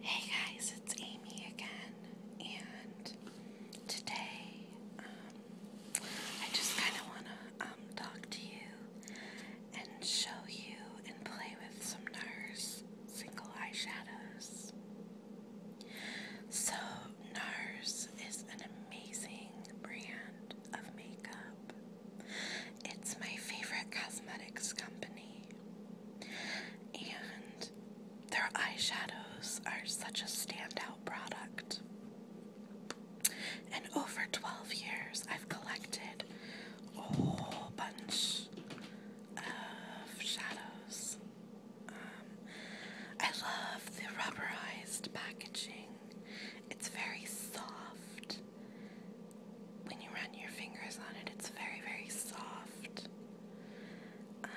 Hey guys, it's Amy again, and today um, I just kind of want to um, talk to you and show you and play with some NARS single eyeshadows. So, NARS is an amazing brand of makeup, it's my favorite cosmetics company. And their eyeshadows are such a standout product. And over 12 years, I've collected a whole bunch of shadows. Um, I love the rubberized packaging, it's very soft when you run your fingers on it, it's very, very soft. Um,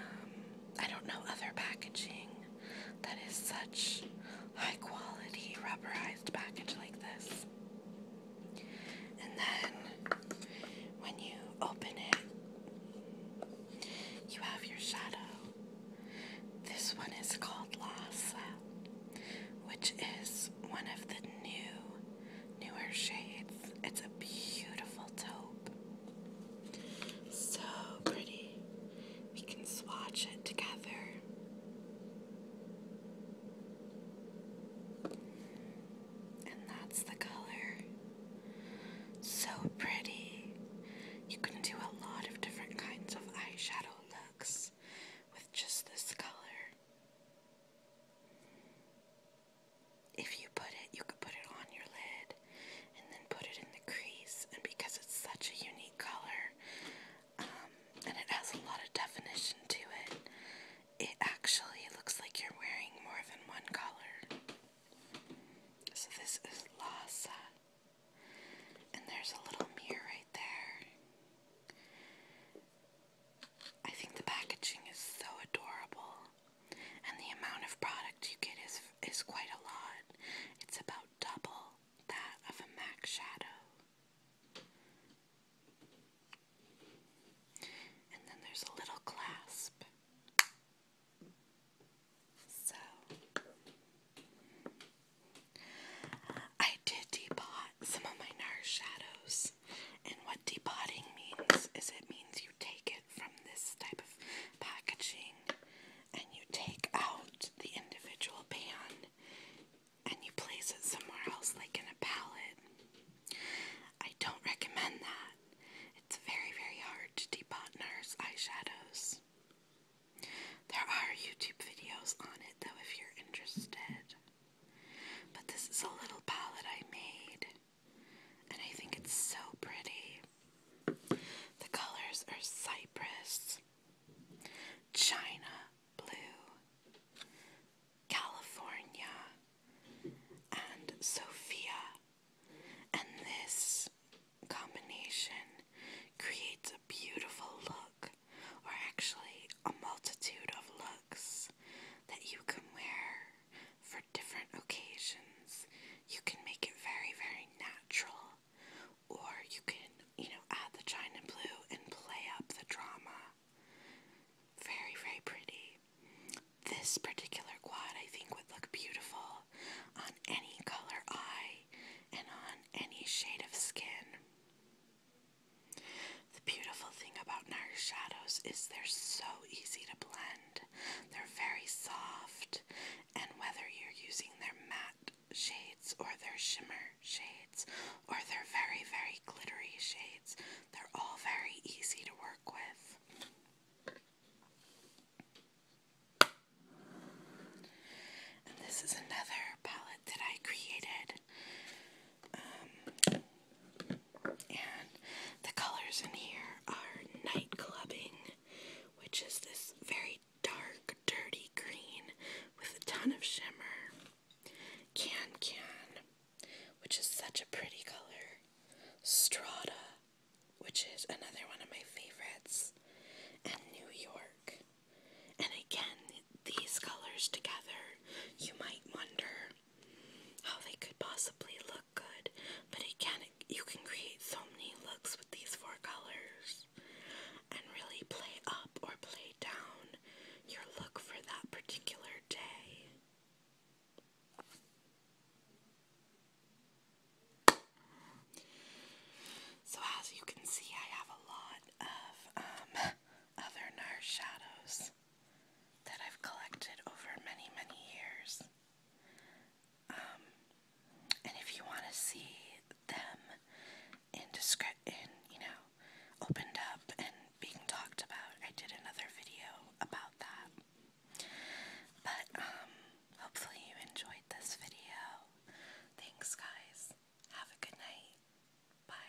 I don't know other packaging that is such high quality rubberized package like this. And then when you open it, you have your shadow. This one is called Lhasa, which is one of the new newer shades. It's a beautiful taupe. So pretty. We can swatch it together. And that's the color. So pretty. You can do a lot of different kinds of eyeshadow looks with just this color if you put it, you could put it on your lid and then put it in the crease. And because it's such a unique color, um, and it has a lot of definition to it, it actually looks like you're wearing more than one color. So this is Lhasa. And there's a little mirror right there. I think the packaging is so adorable, and the amount of product you get is is quite a lot. It's about double that of a MAC shadow. And then there's a little clasp. So I did depot some of my NARS shadows and what depotting means is it means you take it from this type of packaging and you take out the individual pan and you place it somewhere else, like in a palette. I don't recommend that. It's very, very hard to depot NARS eyeshadows. There are YouTube videos on it though if you're interested. But this is a little palette I made, and I think it's so pretty. The colors are Cypress, China Blue, California, and Sophia. And this combination creates a beautiful look, or actually, a multitude of looks that you can wear for different occasions. You can make it very, very natural, or you can, you know, add the china blue and play up the drama. Very, very pretty. This particular quad I think would look beautiful on any color eye and on any shade of skin. The beautiful thing about NARS shadows is they're so easy to blend. They're very soft, and whether you're using their matte shades or their shimmer shades or their very, very glittery shades, they're all very easy to work with. And this is another palette that I created. Um, and the colors in here are Night which is this very dark, dirty green with a ton of shimmer. Can Can, which is such a pretty color. Strata, which is another one of my favorites. And New York. And again, these colors together, you might wonder how they could possibly look good, but it can you can create so many looks with these four colors and really play up or play down your look for that particular day. So as you can see, I have a lot of um, other NARS shadows that I've collected over many, many years. Um, and if you want to see them in discre in you know, opened up and being talked about, I did another video about that. But um, hopefully you enjoyed this video. Thanks, guys. Have a good night. Bye.